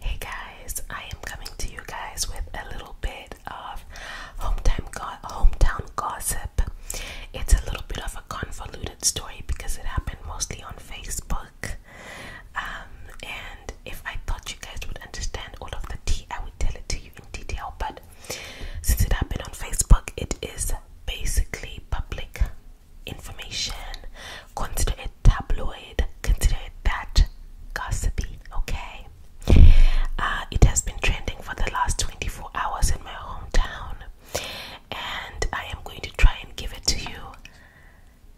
Hey guys, I am coming to you guys with a little bit of hometown go hometown gossip. It's a little bit of a convoluted story because it happened mostly on Facebook. Um, and if I thought you guys would understand all of the tea, I would tell it to you in detail. But since it happened on Facebook, it is basically public information. Consider tabloid, consider it that gossipy, okay? Uh, it has been trending for the last 24 hours in my hometown, and I am going to try and give it to you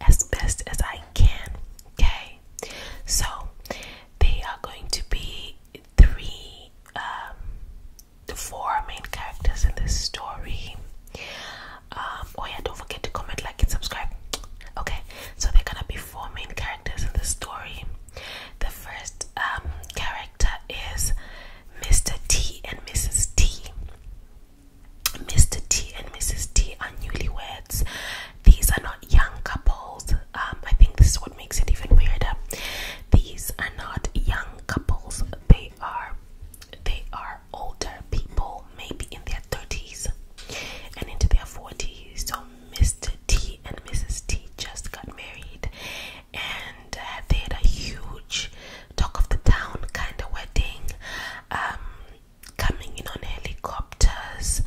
as best as I can, okay? So, they are going to be three, um, the four main characters in this story. Um, oh yeah, don't forget to comment, like, and subscribe. Okay, so there are gonna be four main characters in the story. The first um, character is Mr. T and Mrs. T. Mr. T and Mrs. T are newlyweds. These are not young couples. Um, I think this is what makes it even weirder. These are not young couples. They are, they are older people, maybe in their 30s and into their 40s. So, Mr. T and Mrs. T just got married and uh, they had a huge talk of the town kind of wedding, um, coming in on helicopters,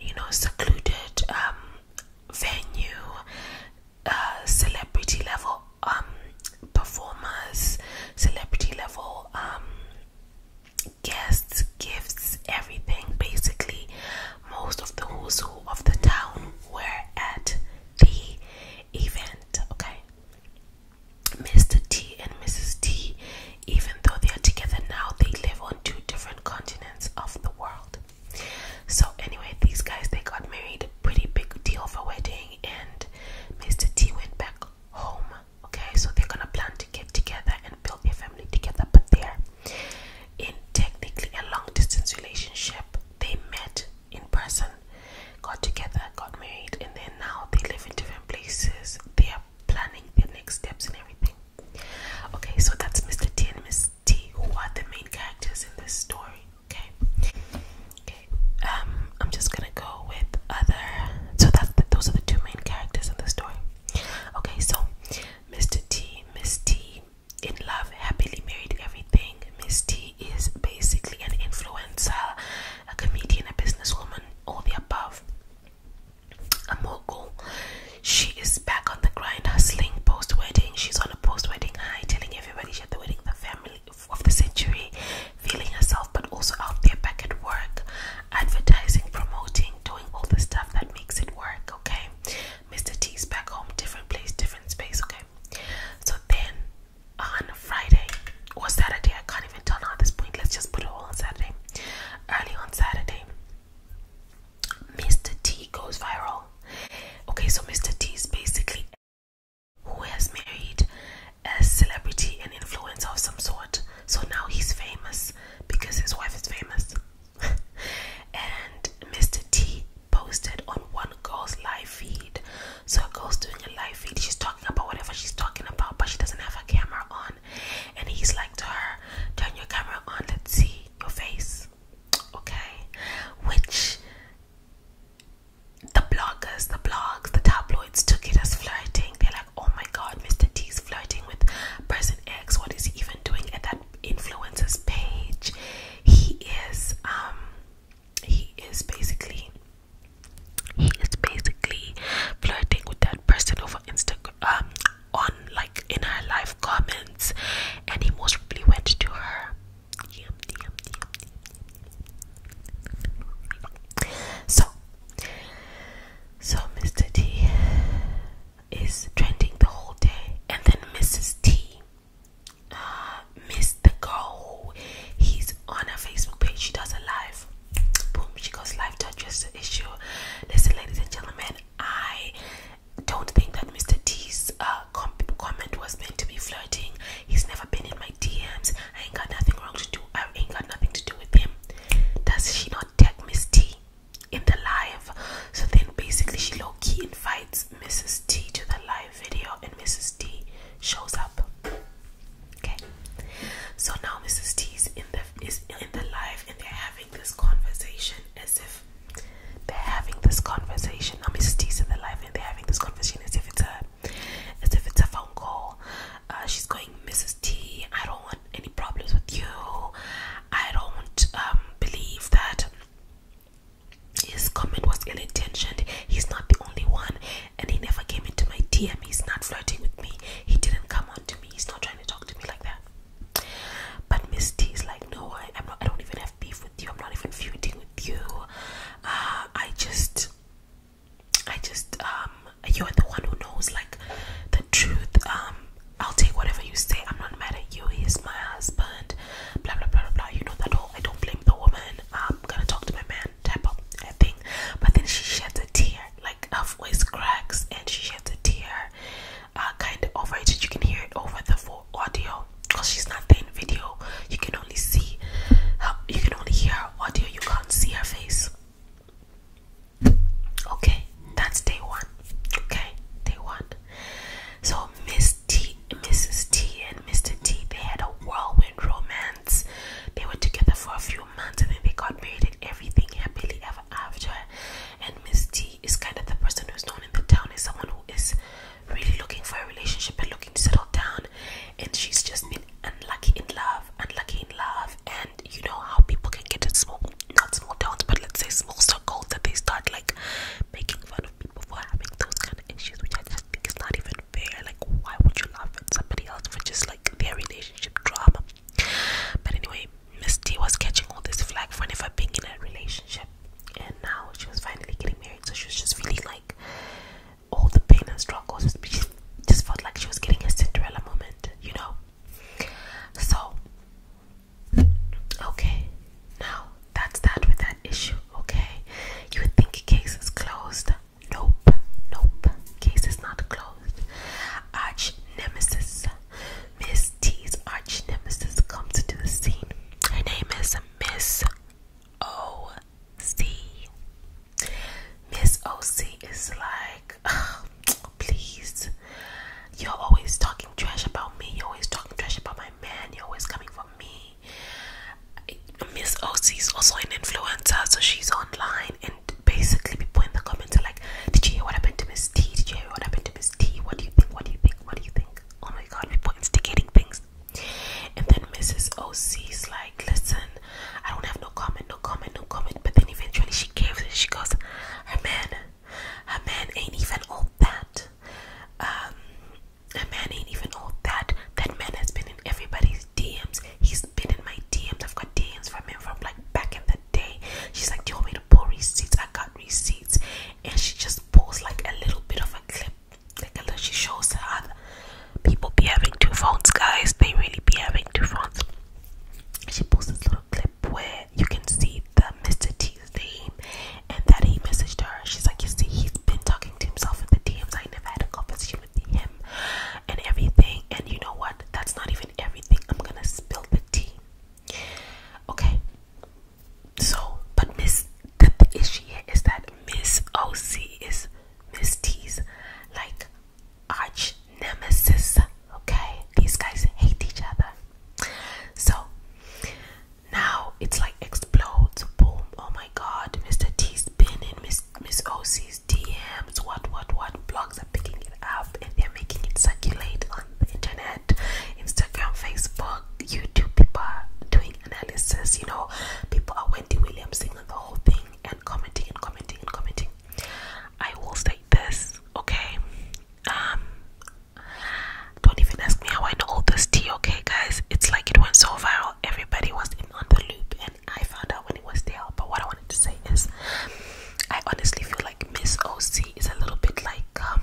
you know, secluded um, venue, uh, celebrity level um, performers, celebrity level um, guests, gifts, everything. Basically, most of the who's who of the town were at the event. Okay, Mr. T and Mrs. T, even though they are together now, they live on two different continents of the world. So, anyway, these guys they got married. Pretty big deal for wedding, and Mr. T went back home. Okay, so they're gonna plan to get together and build a family together, but they're in technically a long distance relationship. They met in person, got together, got married, and then now they live in different places. They are planning the next steps and everything. Okay, so that's Mr. T and Miss T, who are the main characters in this story. Okay, Okay, um, I'm just gonna go with other. So that's those are the two main characters in the story. Okay, so Mr. T, Miss T, in love, happily married, everything. Miss T is basically an influencer, a comedian, a businesswoman, all the above. A mogul. She is back on the grind, hustling post wedding. She's on a post wedding high, telling everybody she had the wedding, the family, of the century, feeling herself, but also out there back at work, advertising, promoting, doing all the stuff that makes it work. Okay, Mr. T's back home, different place, different space. Okay, so then on Friday or Saturday, I can't even tell now at this point. Let's just put it all on Saturday. Early on Saturday, Mr. T goes viral. Okay, so Mr. T's basically who has married a celebrity and influencer of some sort. So now he's famous because his wife is famous. and Mr. T posted on one girl's live feed. So a girl's doing a live feed. She's talking about whatever she's talking about, but she doesn't have a camera on. And he's like to her, turn your camera on, let's see your face. Okay. Which the bloggers, the blogs, the tabloids took it as flirting. They're like, oh my god, Mr. T's flirting with person X. What is he even doing at that influencer's page? He is, um, he is basically, he is basically flirting with that person over Instagram, um, on like in her live comments, and he most probably went to her so, so Mr. T is trending the whole day, and then Mrs. T uh, missed He's on her Facebook page. She does a live. Boom! She goes live to address the issue. Listen, ladies and gentlemen, I don't think that Mr. T's uh, uh, com comment was meant to be flirting. He's never been in my DMs. I ain't got nothing wrong to do. I ain't got nothing to do with him. Does she not tag Miss T in the live? So then basically she low key invites Mrs. T to the live video and Mrs. T shows up. Okay. So now Mrs. T in the is in the live and they're having this conversation as if they're having this conversation now Mrs. T's in the live they're having this conversation as if it's a as if it's a phone call. Uh, she's going, Mrs. T, I don't want any problems with you. I don't um, believe that his comment was ill intentioned. He's not the only one, and he never came into my DM. He's not flirting with me. He didn't come on to me. He's not trying to talk to me like that. But Miss T is like, no, I, am I don't even have beef with I'm not even feuding with you. Uh, I just, I just, um, you're the one who knows like the truth. Um, I'll take whatever you say. I'm not mad at you. He's my husband. Blah blah blah blah blah. You know that all. I don't blame the woman. I'm gonna talk to my man. Type of thing. But then she sheds a tear. Like her voice cracks and she sheds a tear. Uh, kind of over it. You can hear it over the full audio because she's not in video you can only see you can only hear her audio you can't see her face okay that's day one okay day one so miss t mrs t and mr t they had a whirlwind romance they were together for a few months and then they got married and everything happily ever after and miss t is kind of the person who's known in the town as someone who is really looking for a relationship and looking to settle down, and she's just been unlucky in love, unlucky in love, and you know how people can get in small, not small towns, but let's say small circles that they start like making fun of people for having those kind of issues, which I just think is not even fair. Like, why would you laugh at somebody else for just like their relationship drama? But anyway, Misty was catching all this flag for never being in a relationship, and now she was finally getting married so she was just feeling like all the pain and struggles she just felt like she was getting a Cinderella moment you know so okay now that's that with that issue okay you would think case is closed nope nope case is not closed arch nemesis Miss T's arch nemesis comes into the scene. Her name is Miss OC. Miss OC is like, please. You're always talking trash about me. You're always talking trash about my man. You're always coming for me. Miss OC is also an influencer, so she's online. And basically, people in the comments like, Did you hear what happened to Miss T? Did you hear what happened to Miss T? What do you think? What do you think? What do you think? oh my god, people instigating things. And then Mrs. O C is like, listen, I don't have no comment, no comment, no comment. But then eventually she gives it. She goes, her man, her man ain't even all that. Um, a man ain't even all that. That man has been in everybody's DMs. He's been in my DMs. I've got DMs from him from like back in the day. She's like, do you want me to pull receipts? I got receipts and she just pulls like a little bit of a clip like a little she shows her people be having two phones guys they really be having two phones she pulls this little clip where you can see the mr t's name and that he messaged her she's like you see he's been talking to himself in the dms i never had a conversation with him and everything and you know what that's not even everything i'm gonna spill the tea okay so, but Miss, the, issue here is that Miss OC is Miss T's like arch nemesis. Okay, these guys hate each other. So now it's like explodes. Boom! Oh my God, Mr. T's been in Miss Miss OC's DMs. What? What? What? Blogs are picking it up and they're making it circulate on the internet. Instagram, Facebook, YouTube. People doing analysis. You know, people are Wendy Williams singing the whole thing and commenting and commenting and commenting. I will state this, okay? Um, don't even ask me how I know all this tea, okay, guys? It's like it went so viral. Everybody was in on the loop, and I found out when it was there. But what I wanted to say is, I honestly feel like Miss OC is a little bit like um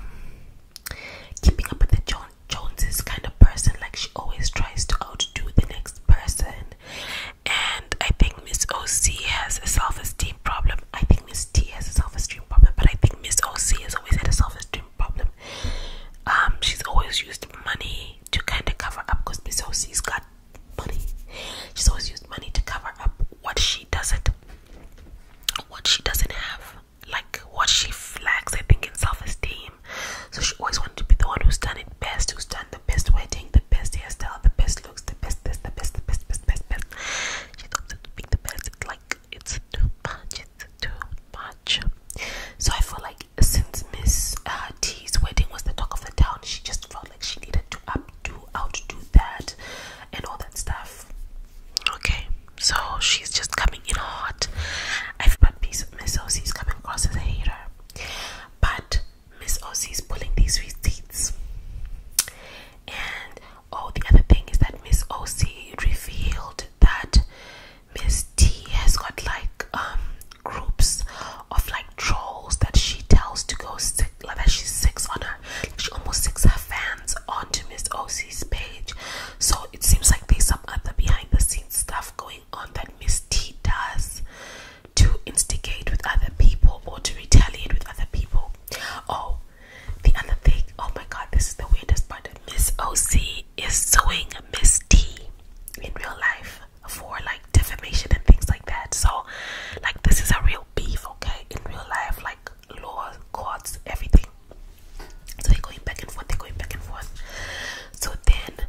keeping up with the John Joneses kind of person. Like she always tries to outdo the next person. And I think Miss OC has a self-esteem problem. I think Miss T has a self-esteem problem, but I think Miss OC has always had a self-esteem problem. Um, she's always used money to kind of cover up because Miss OC's got money. She's always used money to cover up what she she doesn't what she doesn't have like what she lacks i think in self-esteem so she always wanted to be the one who's done it best who's done the best wedding the best hairstyle the best looks the best this the best the best best best best she thought that being the best it's like it's too much it's too much so i feel like since miss uh, t's wedding was the talk of the town she just felt like she needed to up outdo outdo that and all that stuff okay so she's just coming in hot i've got piece of miss is coming across as a hater but miss is pulling these receipts and oh the other thing is that miss oc revealed that miss t has got like um groups of like trolls that she tells to go sing six, I she's six on her, she almost six her fans onto Miss OC's page. So it seems like there's some other behind the scenes stuff going on that Miss T does to instigate with other people or to retaliate with other people. Oh, the other thing, oh my god, this is the weirdest part. Miss OC is suing Miss T in real life for like defamation and things like that. So, like, this is a real beef, okay? In real life, like like courts everything. So they're going back and forth, they're going back and forth. So then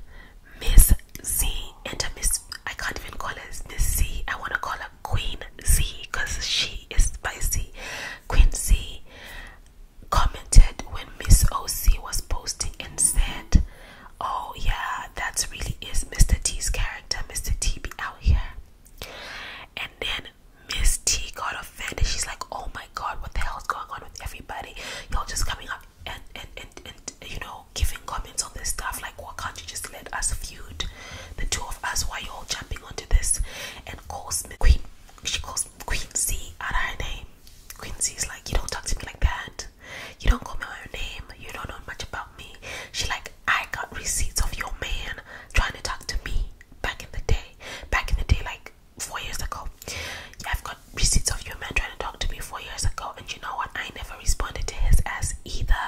Miss Z enter Miss I can't even call her Miss Z. I wanna call her Queen Z because she is spicy. Queen Z commented when Miss OC was posting and said, Oh yeah, that's really is Mr. T's character. Mr. T be out here. And then Miss T got offended. She's like, oh my god, what the hell's going on with everybody? Y'all just coming up and, and, and, you know, giving comments on this stuff. Like, why can't you just let us feud? The two of us, why y'all jumping onto this? And calls Queen, she calls Queen C out of her name. Queen C is like, you don't talk to me like that. You don't call me by your name. You don't know much about me. She like I got receipts of your man trying to talk to me back in the day. Back in the day, like four years ago. Yeah, I've got receipts of your man trying to talk to me four years ago, and you know what? I never responded to his ass either.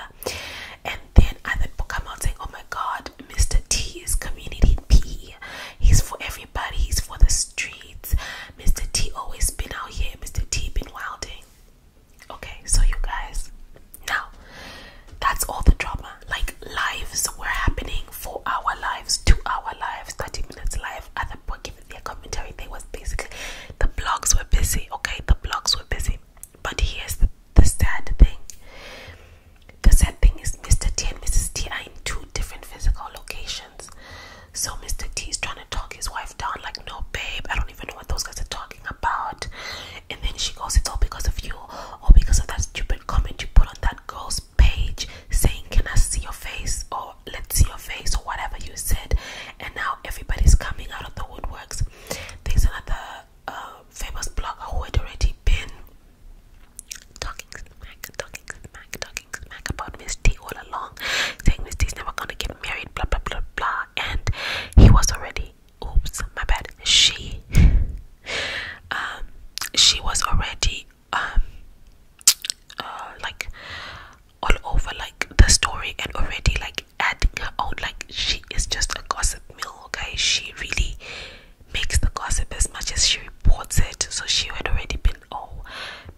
And then other people come out saying, Oh my god, Mr. T is community P. He's for everybody, he's for the streets. Mr. T always been out here, Mr. T been wilding. Okay, so you guys, now that's all the drama. Like lives were happening, for our lives, to our lives, 30 minutes live. Other people giving their commentary. They was basically the blogs were busy, okay? The blogs were busy. But here's the, the sad thing. The sad thing is Mr. T and Mrs. T are in two different physical locations. So Mr. T is trying to talk his wife down, like, no, babe, I don't even know what those guys are talking about and then she goes, It's all because of you, or because of that stupid comment you put on that girl's page saying, Can I see your face? or Let's see your face, or whatever you said. And now everybody's coming out of the woodworks. There's another uh, famous blogger who had already been talking smack, talking talking about Miss all along, saying Miss never gonna get married, blah blah blah blah. And he was already oops my bad she um she was already um uh, like all over like the story and already like adding her own like she is just a gossip mill okay she really makes the gossip as much as she reports it so she had already been oh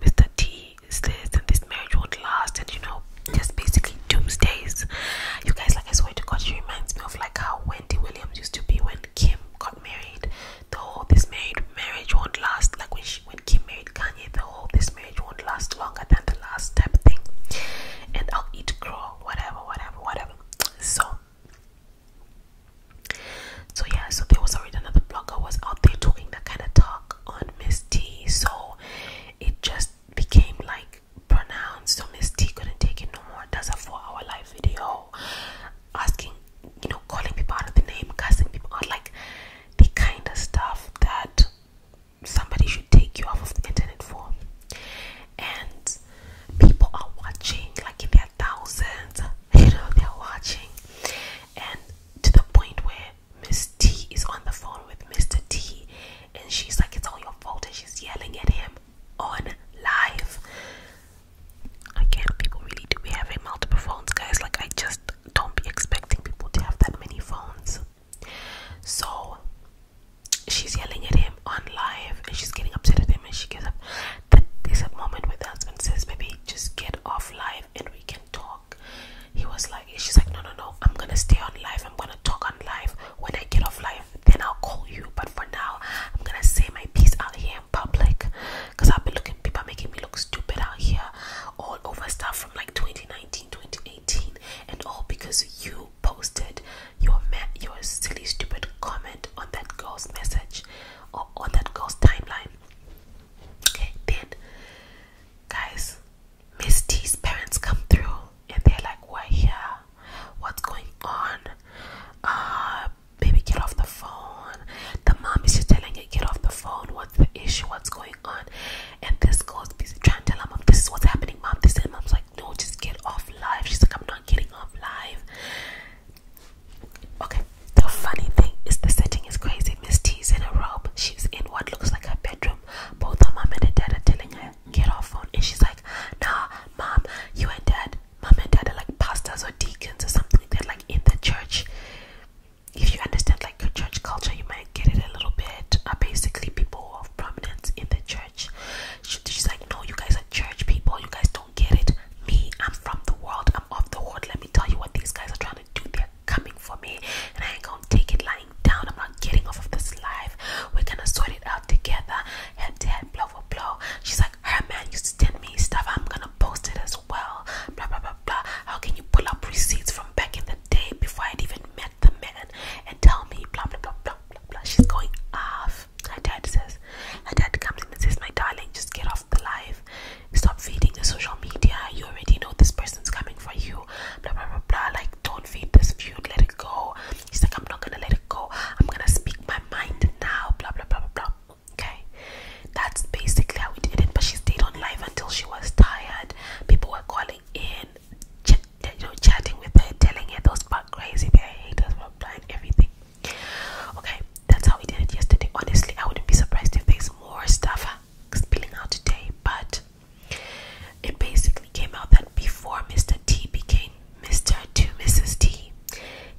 mr t is this and this marriage won't last and you know just basically doomsdays you guys like i swear to god she reminds me of like how wendy williams used to be when kim got married the whole this married marriage won't last like when when kim married kanye the whole this marriage won't last longer than the last step thing and i'll eat crow whatever whatever whatever so so yeah so there was already another blogger was out there talking that kind of talk on miss t so it just became like pronounced. So Miss T couldn't take it no more. That's a four-hour live video asking, you know, calling people out of the name, cussing people out, like the kind of stuff that somebody should take you off of the internet for. And people are watching, like in their thousands, you know, they're watching, and to the point where Miss T is on the phone with Mr. T, and she's like, It's all your fault, and she's yelling at him on live. Again, people really do be having multiple phones, guys. Like, I just don't be expecting people to have that many phones. So, she's yelling at him on live, and she's getting upset at him, and she gives up. That is a moment where the husband says, Maybe just get off live and we can talk. He was like, she's like, no, no, no, I'm gonna stay on life. I'm gonna talk on life. When I get off life, then I'll call you. But for now, I'm gonna say my piece out here in public, cause I've been looking people making me look stupid out here, all over stuff from like 2019, 2018, and all because you posted your your silly, stupid comment on that girl's message or on that girl's timeline. Okay, then, guys, Miss T's parents come through and they're like, We're here. What's going on? Uh, baby, get off the phone. The mom is just telling her, Get off the phone. What's the issue? What's going on? And this girl's busy trying to tell her mom, This is what's happening, mom. This and mom's like, No, just get off live. She's like, I'm not getting off live. Okay, the funny thing is, the setting is crazy. Miss T's in a robe. She's in what looks like her bedroom. Both her mom and her dad are telling her, get off phone. And she's like, nah, mom, you and dad, mom and dad are like pastors or deacons or something. They're like in the church. If you understand like church culture, you might get it a little bit. Are uh, basically people of prominence in the church. She's like, no, you guys are church people. You guys don't get it. Me, I'm from the world. I'm off the world. Let me tell you what these guys are trying to do. there coming for me and I ain't gonna take it lying down. I'm not getting off of this life. We're gonna sort it out together. Head to head, blow for blow. She's like, her man used to send me stuff. I'm gonna post it as well. Blah blah blah blah. How can you pull up receipts from back in the day before I'd even met the man and tell me blah blah blah blah blah blah. She's going off. Her dad says, her dad comes in and says, My darling, just get off off the live. Stop feeding the social media. You already know this person's coming for you. Blah blah blah blah. Like, don't feed this feud. Let it go. He's like, I'm not gonna let it go. I'm gonna speak my mind now. Blah blah blah blah blah. Okay, that's basically how we did it. But she stayed on live until she was tired. People were calling in, you know, chatting with her, telling her those bad crazy, they hate us, blah blah, everything. Okay, that's how we did it yesterday. Honestly, I wouldn't be surprised if there's more stuff spilling out today, but it basically came out that before Mr. T became Mr. Two Mrs. T,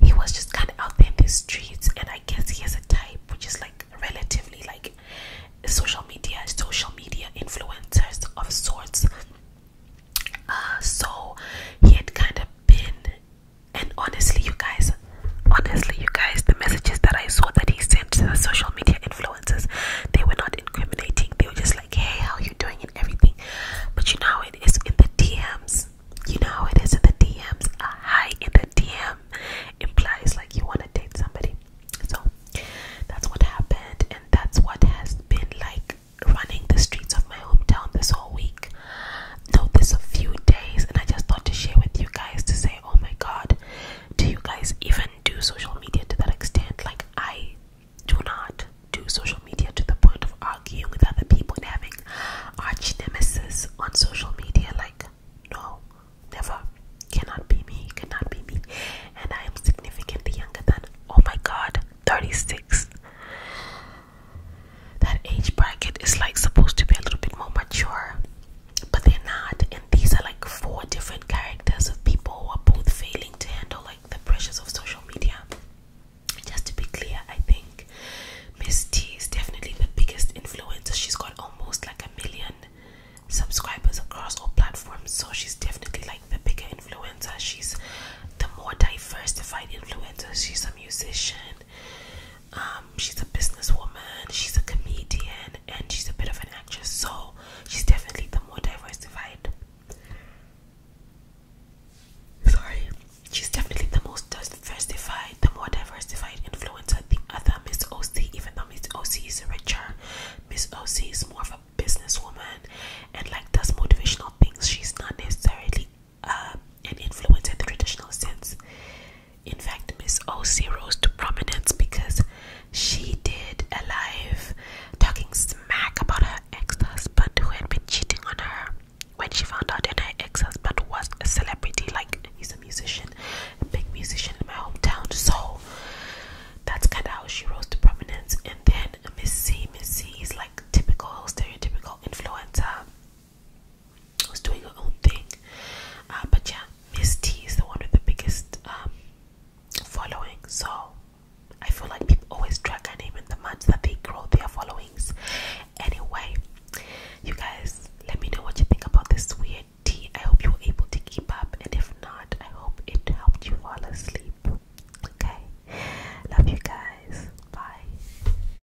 he was just kind of out there in the streets, and I guess he has a type which is like relatively like social media, social media influencers of sorts. Uh, so he had kind of been, and honestly, you guys, Honestly, you guys, the messages that I saw that he sent to the social media influencers, they were not incriminating. They were just like, hey, how you doing and everything. But you know it is in the DMs. You know it is in the DMs. A high in the DM implies like you want to date somebody. So that's what happened, and that's what has been like running the streets of my hometown this whole week. No, this a few days, and I just thought to share with you guys to say oh my god, do you guys even do social media to that extent? Like, I do not do social media to the point of arguing with other people and having arch nemesis on social media. Like, no, never. Cannot be me, cannot be me. And I am significantly younger than, oh my god, 36 that age bracket is like supposed to be a little bit more mature, but they're not. And these are like four different characters of people who are both failing to handle like the pressures of social media. Just to be clear, I think Miss T is definitely the biggest influencer. She's got almost like a million subscribers across all platforms, so she's definitely like the bigger influencer. She's the more diversified influencer. She's a musician, um, she's a businesswoman, she's a comedian, and she's a bit of an actress, so she's definitely the more diversified. Sorry, she's definitely the most diversified, the more diversified influencer. The other Miss OC, even though Miss OC is richer, Miss OC is more of a businesswoman and like does motivational things. She's not necessarily uh, um, an influence in the traditional sense. In fact, Miss O.C. rose to prominence because she did a live talking smack about her ex husband who had been cheating on her when she found out that her ex husband was a celebrity. Like, he's a musician, a big musician in my hometown. So, that's kind of how she rose to prominence. And then Miss C, Miss C is like typical, stereotypical influencer was doing her own thing. Uh, but yeah, Miss T is the one with the biggest um, following. So I feel like people always drag her name in the months that they grow their followings. Anyway, you guys, let me know what you think about this weird tea. I hope you were able to keep up, and if not, I hope it helped you fall asleep. Okay, love you guys. Bye.